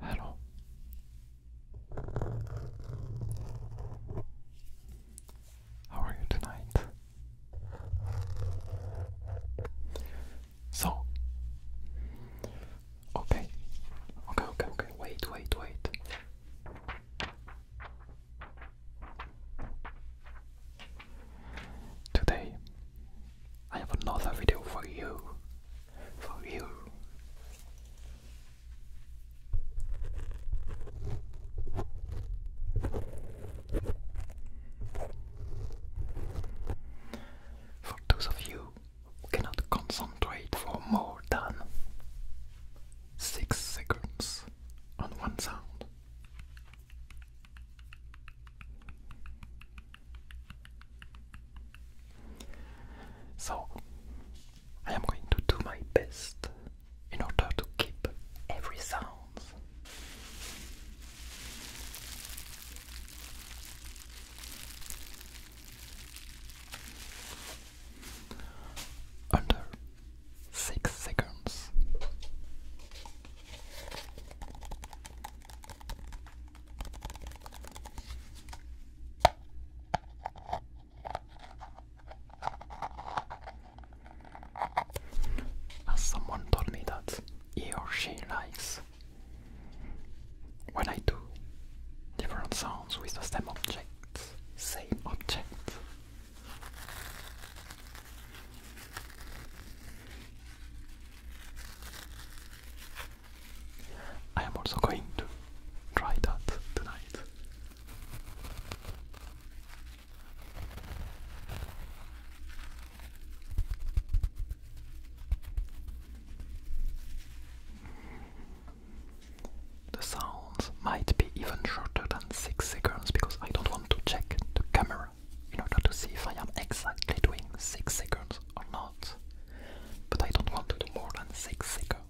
Hello. How are you tonight? So, okay, okay, okay, okay, wait, wait, wait. Today I have another video for you. For you. For those of you who cannot concentrate for more than 6 seconds on one sound. So, I am going to do my best in order to keep every sound. Under six seconds. As someone told me that he or she likes when I do different sounds with the same object, same object. I am also going to try that tonight. The sounds might be even shorter than 6 seconds because I don't want to check the camera in order to see if I am exactly doing 6 seconds or not. But I don't want to do more than 6 seconds.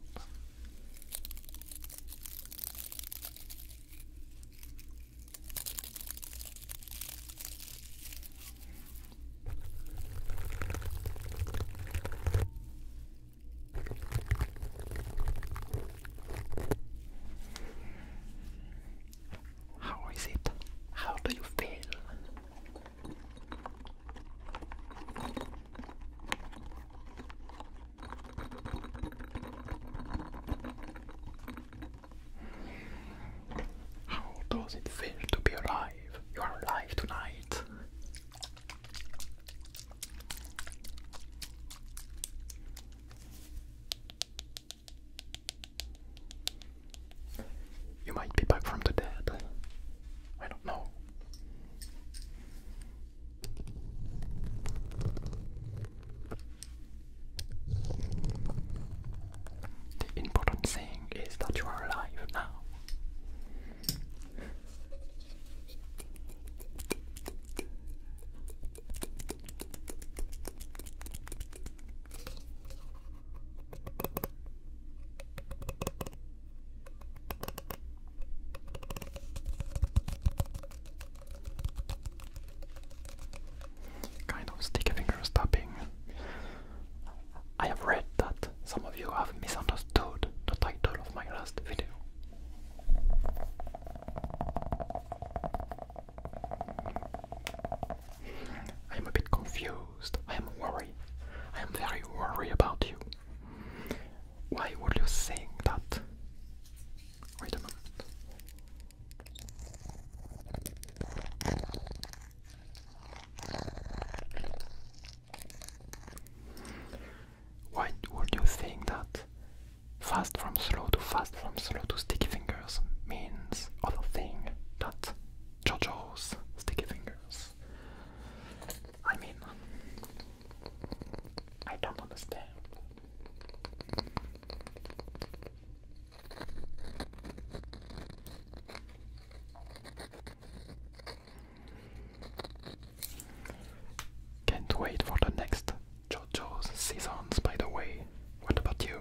How is it? How do you feel? How does it feel to be alive? You are alive tonight. You might be back from the dead. I don't know. The important thing is that you are alive now. Kind of sticky finger stabbing. I have read that some of you have misunderstood the title of my last video. I am a bit confused. I am worried. I am very worried about you. Why would you think that? Wait a minute. Why would you think that fast from slow to fast from slow to sticky fingers means other thing that Jojo's sticky fingers. I mean, I don't understand. Can't wait for the next JoJo's seasons, by the way. What about you?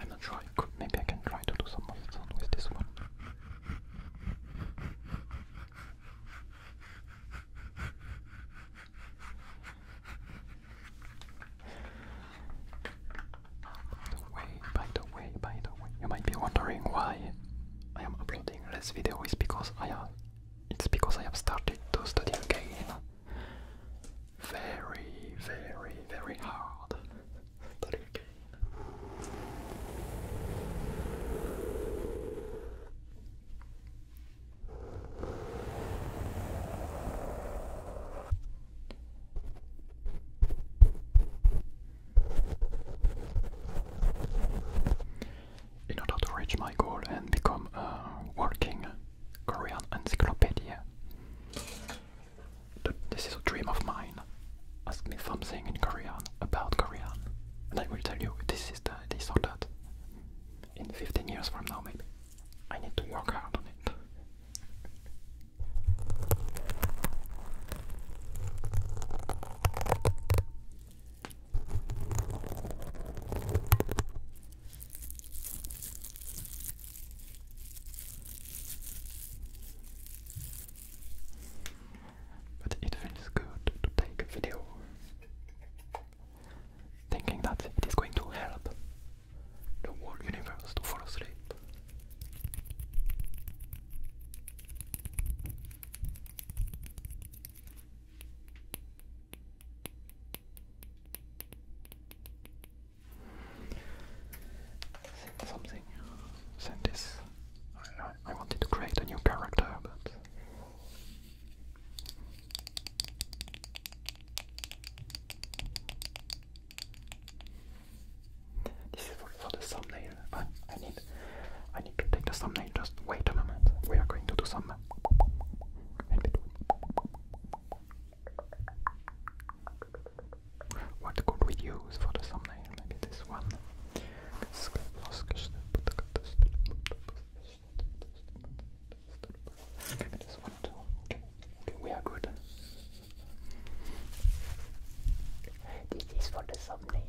I'm not sure. maybe I can try to do some of sound with this one the way, by the way, by the way, you might be wondering why I am uploading less video is because I am. it's because I have started to study again very, very, very hard study again. In order to reach my goal and become a working Korean encyclopedia, this is a dream of mine. Ask me something in Korean about Korean, and I will tell you this is the this or that. In 15 years from now, maybe. I need to work hard on it. But it feels good to take a video thinking that it is going to help the whole universe to fall asleep. Send something. Send this. I, I, wanted to create a new character, but. This is for the thumbnail. I, I need, I need to take the thumbnail. Just wait a moment. We are going to do some. What could we use for the thumbnail? Maybe this one. This one too. Okay. okay, we are good. This is for the thumbnail.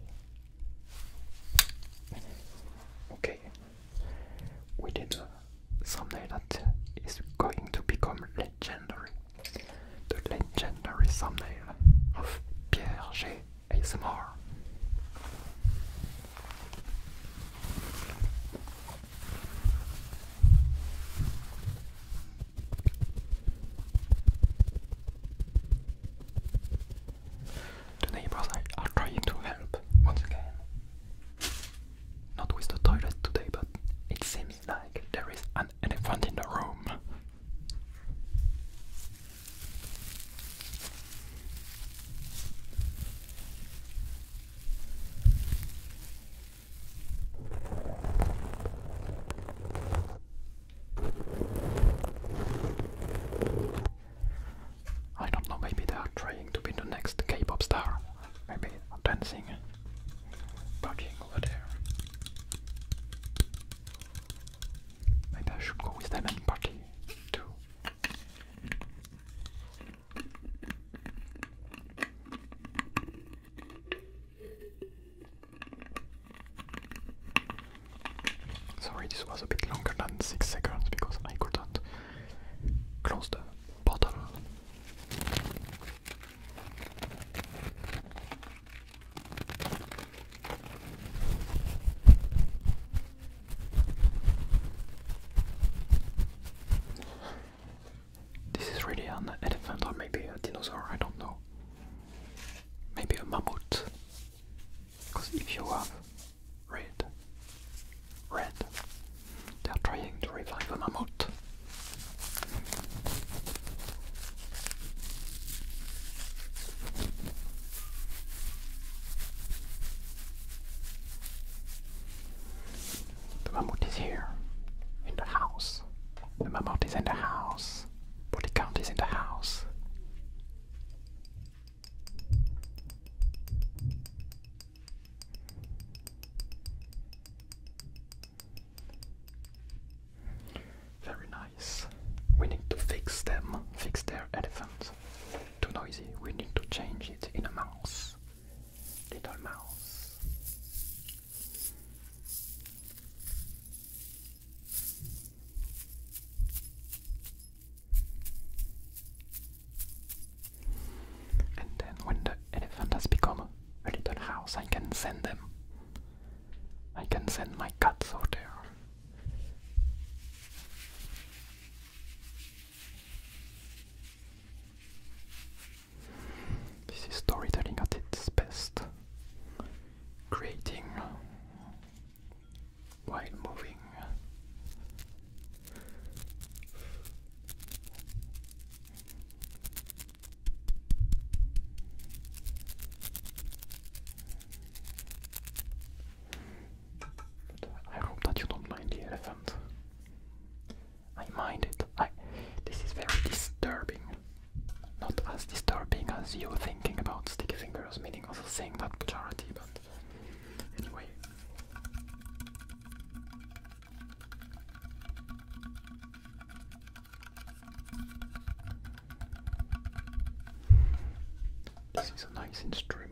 Okay, we did a thumbnail that is going to become legendary. The legendary thumbnail of Pierre G. ASMR. The neighbors are trying to help once again. Not with the toilet today, but it seems like there is an elephant in the room. I don't know, maybe they are trying to be the next K pop star. Maybe dancing, partying over there. Maybe I should go with them and party too. Sorry, this was a bit longer than 6 seconds because I couldn't close the bottle. This is really an elephant or maybe a dinosaur, I don't know. Maybe a mammoth. Because if you have red, red, they are trying to revive a mammoth. The mammoth is here. In the house. The mammoth is in the house. Body count is in the house. Very nice. We need to fix them, fix their elephants. Too noisy, we need to change it in a mouse. Little mouse. And then, when the elephant has become a little house, I can send them. I can send my cats over there. This is storytelling at its best, creating while moving. But I hope that you don't mind the elephant. I mind it. this is very disturbing. Not as disturbing as you thinking about sticky fingers, meaning also saying that charity, but anyway. This is a nice instrument.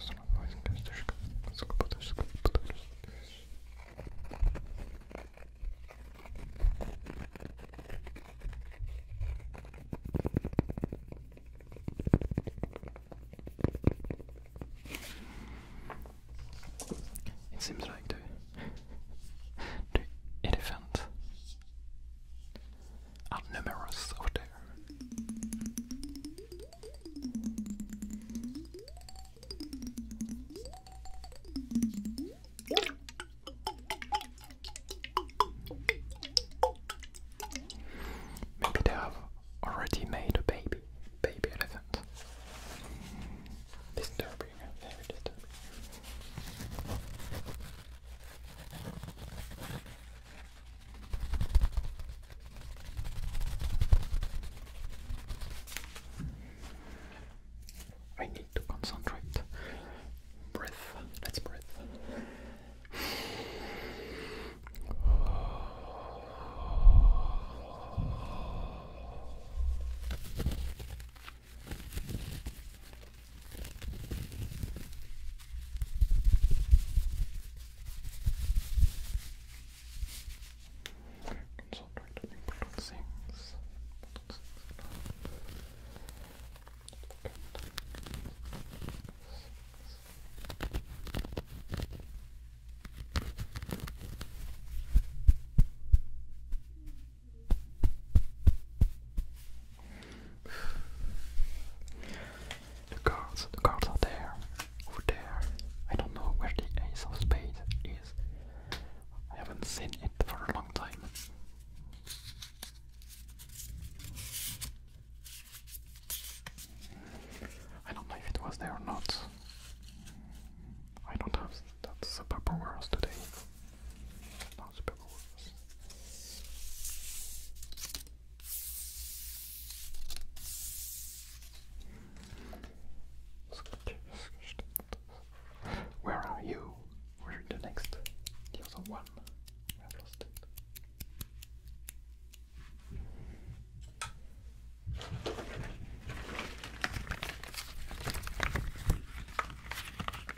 Сравнивать костюшка, сколько потушь, сколько потушь. It seems like the the elephant are numerous over there. Maybe they have already made a baby, baby elephant. Is there top of your head. There it is. Top of your head. I need to concentrate. Breath. Let's breathe. Concentrate on important things. Important things the cards, the cards are there, over there. I don't know where the ace of spades is. I haven't seen it for a long time. I don't know if it was there or not. I don't have That's a paper world today. Where are you? Where's the next? The other one. I lost it.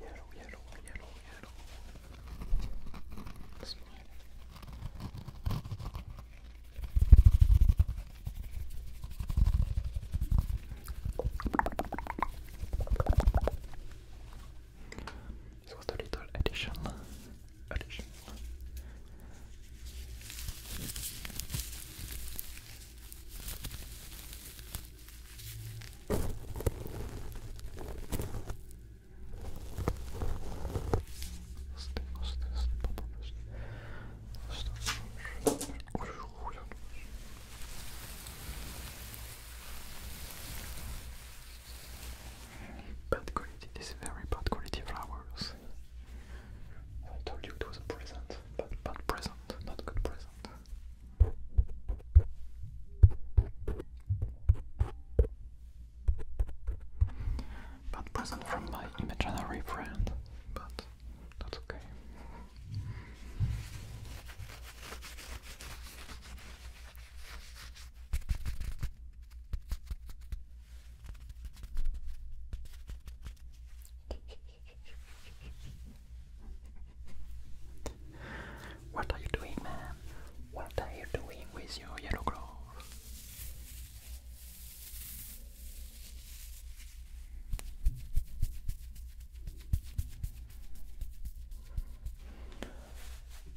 yellow, yellow, yellow, yellow. Smile. This was the little addition. Addition. Bad quality, this is very bad quality flowers. I told you it was a present, but bad present, not good present. Bad present from my imaginary friend, but that's okay. What are you doing, man? What are you doing with your yellow glove?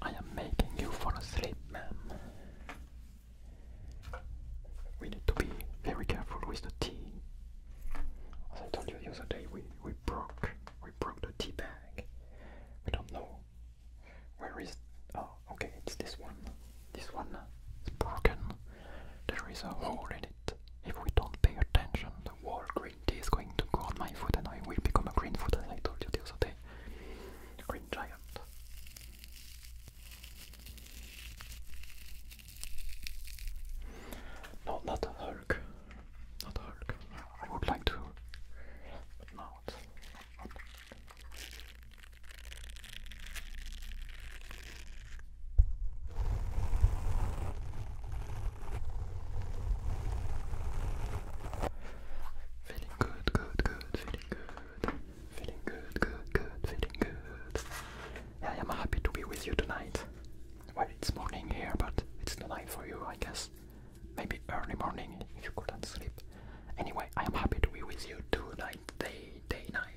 I am making you fall asleep, ma'am. We need to be very careful with the tea. As I told you the other day, we, we broke we broke the tea bag. We don't know. Where is. Oh, okay, it's this one. This one is broken. There is a hole in it. If we don't pay attention, the wall green tea is going to go on my foot and I will become a green foot as I told you the other day. Green giant. No, not a Hulk. Not Hulk. I would like to, but not. Feeling good, good, good, feeling good. Feeling good, good, good, feeling good. Yeah, I am happy to be with you tonight. Well, it's morning here, but it's the night for you, I guess. Maybe early morning if you couldn't sleep. Anyway, I am happy to be with you tonight, day, day, night.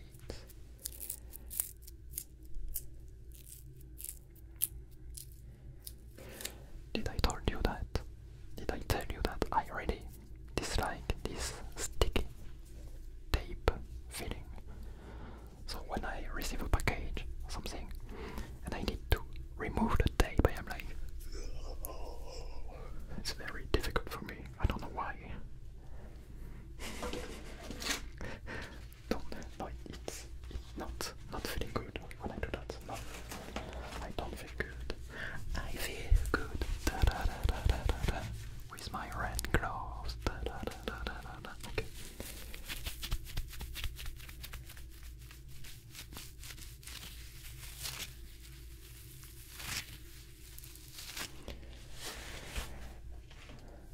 Did I told you that? Did I tell you that I already dislike this sticky tape feeling? So when I receive a package, something, and I need to remove the tape, I am like, it's very difficult for me. I don't know why. don't, no, it's, not not feeling good when I do that. No, I don't feel good. I feel good with my red gloves. Okay.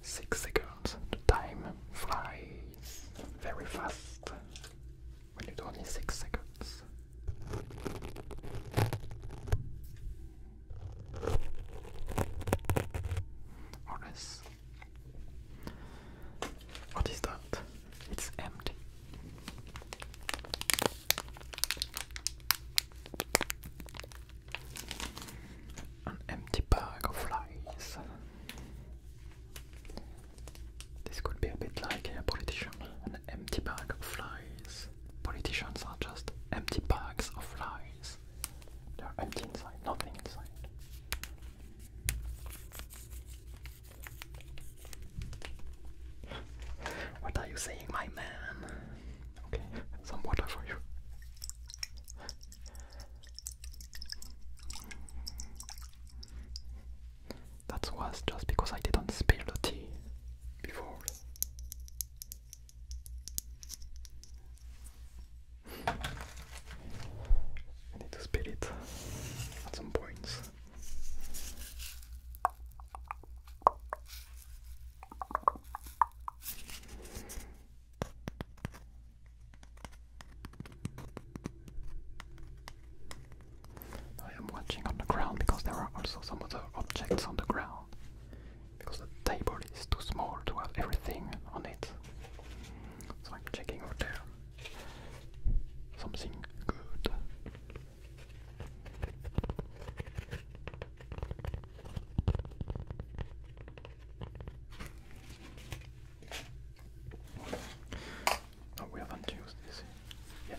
Six seconds. The time flies very fast when it's only six seconds. Or less. What is that? It's empty. An empty bag of flies. This could be a bit like a politician. An empty bag of flies. Politicians are just empty bags of lies. They're empty inside, nothing inside what are you saying, my man? Okay, some water for you. That was just because I didn't spill the tea before. I need to spit it at some points. I am watching on the ground because there are also some other objects on the ground. Because the table is too small to have everything on it. So I'm checking out there something good. Oh, haven't used this yet.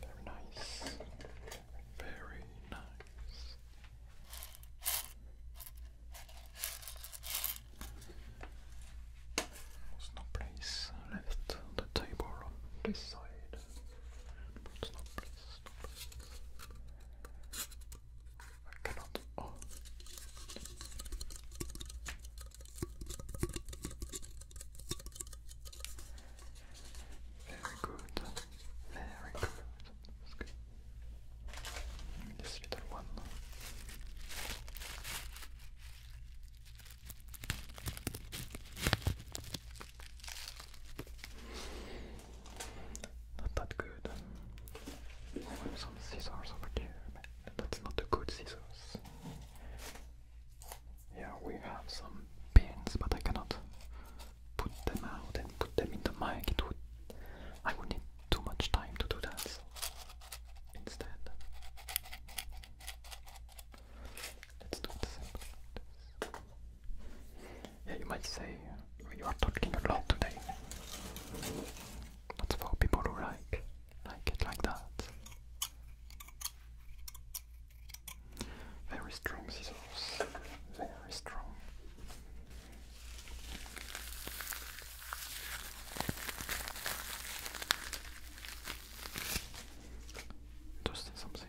They're nice. Very nice. no place left on the table on this side. no place, I cannot. Oh. Very good. Very good. This little one. Not that good. some scissors over there. That's not the good scissors. Yeah, we have some pins, but I cannot put them out and put them in the mic. It would, I would need too much time to do that. So instead, let's do this. Yeah, you might say you are talking a lot today. That's for people who like like it like that. Very strong scissors, very strong. Just something.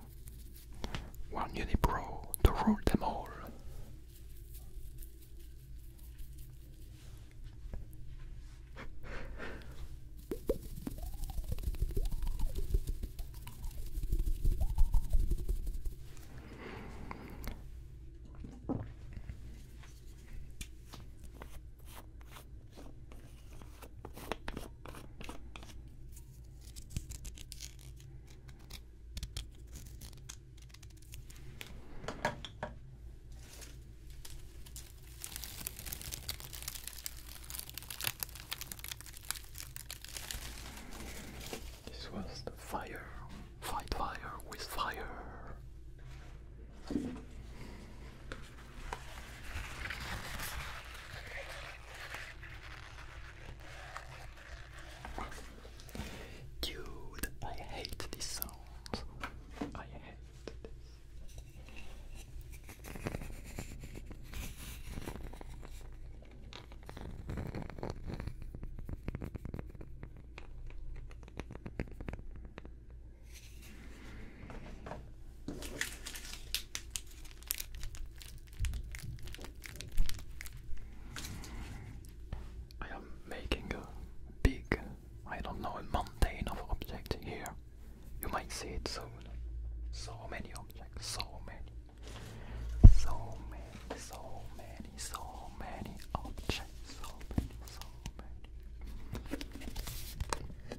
One Unipro to rule them all. This was the fire, fight fire with fire. Dude, I hate this sound. I hate this. I am making a big, I don't know, a mountain of objects here. You might see it soon. So many objects, so many. So many, so many, so many objects, so many, so many.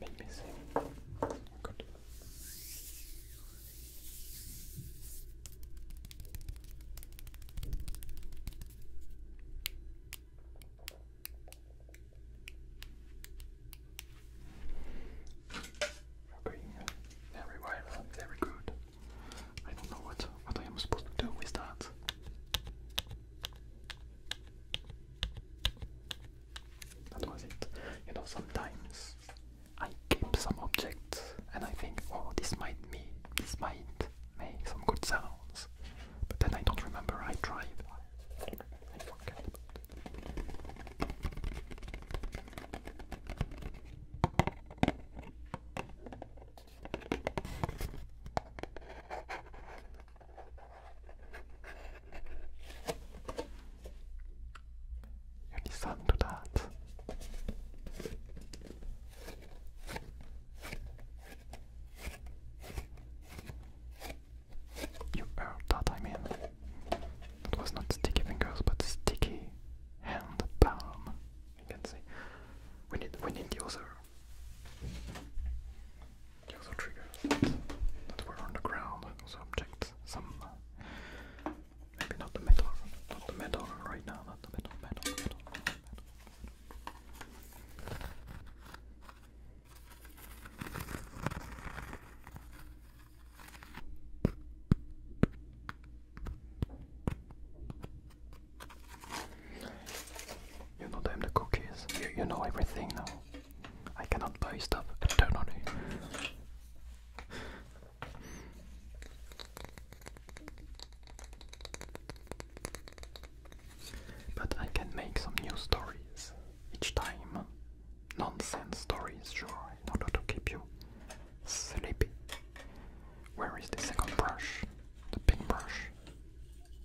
Let me see. Good. good. I don't know what what I am supposed to do with that. That was it. You know, sometimes I keep some objects and I think, oh, this might me, this might make some good sounds, but then I don't remember. I drive. You listen to that. You heard that, I mean. It was not sticky fingers, but sticky hand palm. You can see. We need, we need the other also triggers that were on the ground, objects, some, maybe not the metal, not the metal right now, not the metal, metal, metal, metal. You know them, the cookies. You, know everything now. I cannot buy stuff eternally. but I can make some new stories each time. Nonsense stories, sure, in order to keep you sleepy. Where is the second brush? The pink brush.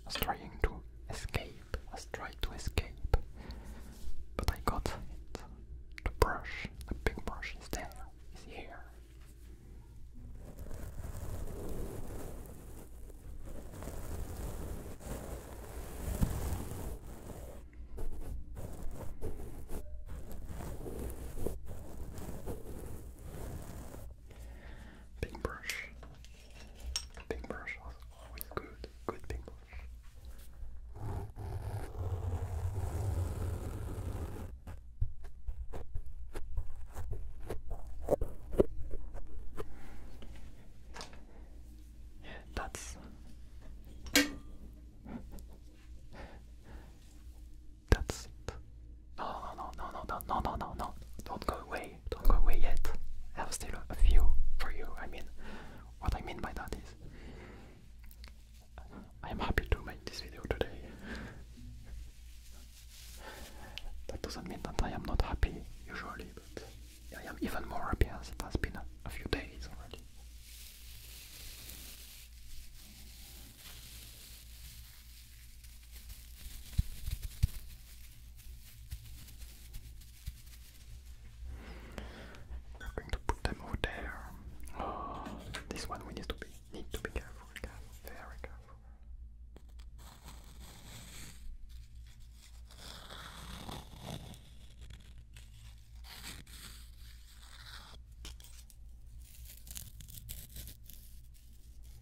is trying to escape escape, has tried to escape, but I got The brush, the big brush is there, is here. Big brush, Paintbrush was always good, good paintbrush. That's that's No, no, no, no, no, no, no, no, no, don't go away away, don't go away yet. I have still a few for you. I mean, what I mean by that is, I am happy to make this video today. that doesn't mean that I am not happy usually, but I am even more happy as it has been a few days already. We're going to put them over there. this one we need to be need to be careful, very careful.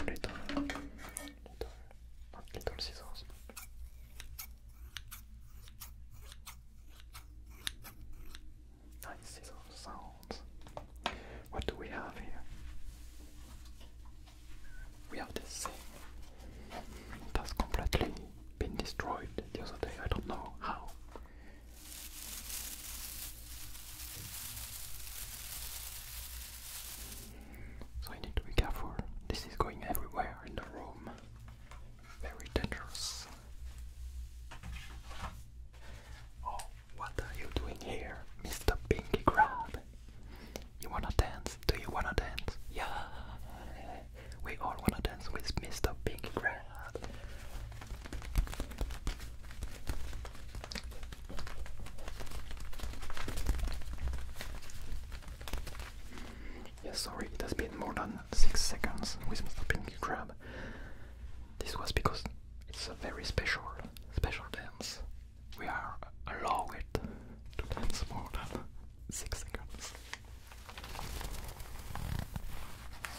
everything little, little, not little scissors. Nice scissors sounds. What do we have here? We have this thing. It has completely been destroyed the other day. I don't know how. So I need to be careful. This is going everywhere in the room. Very dangerous. Oh, what are you doing here, Mr. Pinky Crab? You wanna dance? Do you wanna dance? Yeah! We all wanna dance with Mr. Pinky Crab. Yes, sorry, it has been more than 6 seconds with Mr. Pinky Crab. This was because it's a very special, special dance. We are allowed to dance more than 6 seconds.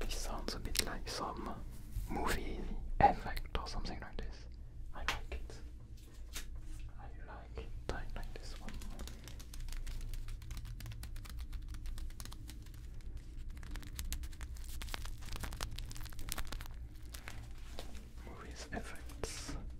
This sounds a bit like some movie effect or something like this. I like it. I like I like this one. Movies effects.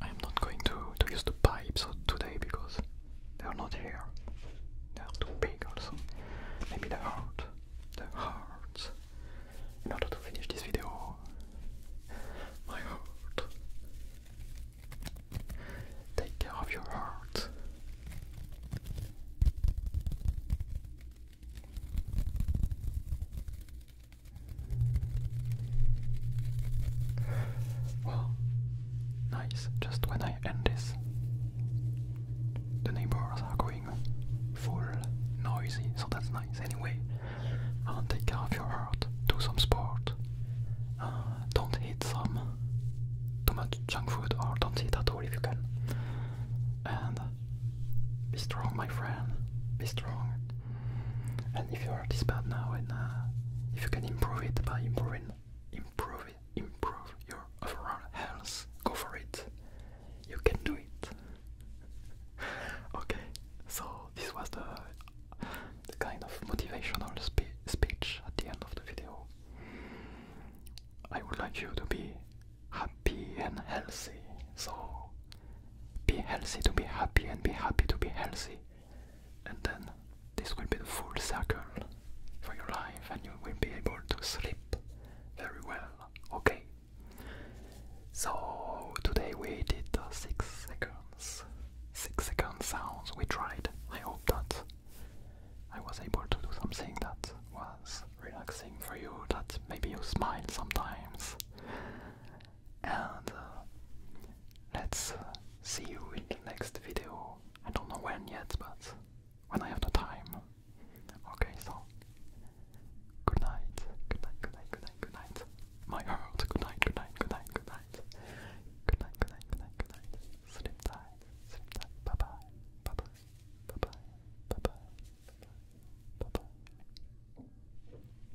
I, am not going to, to use the pipes today because they're not here. They're too big also. Maybe the heart. The heart. In order to finish this video. My heart. Take care of your heart. Well, nice, just when I end this, the neighbors are going full noisy, so that's nice. Anyway, take care of your heart, do some sport, uh, don't eat some too much junk food or don't eat at all if you can. And be strong, my friend, be strong. And if you are this bad now, and uh, if you can improve it by improving, improve improve your overall health, go for it. You can do it. okay, so this was the kind of motivational speech at the end of the video. I would like you to be happy and healthy. So be healthy to be happy and be happy to be healthy and then this will be the full circle for your life, and you will be able to sleep very well. Okay. So today we did uh, six seconds, six second sounds. We tried. I hope that I was able to do something that was relaxing for you. That maybe you smile sometimes and uh, let's uh, see you in the next video. I don't know when yet, but when I have the time. Okay, so good night, good night, good night, good night, good night. My heart, good night, good night, good night, good night. Good night, good night, good night, good night. Sleep tight, sleep tight. Bye bye, bye bye, bye bye, bye bye, bye bye. bye, -bye.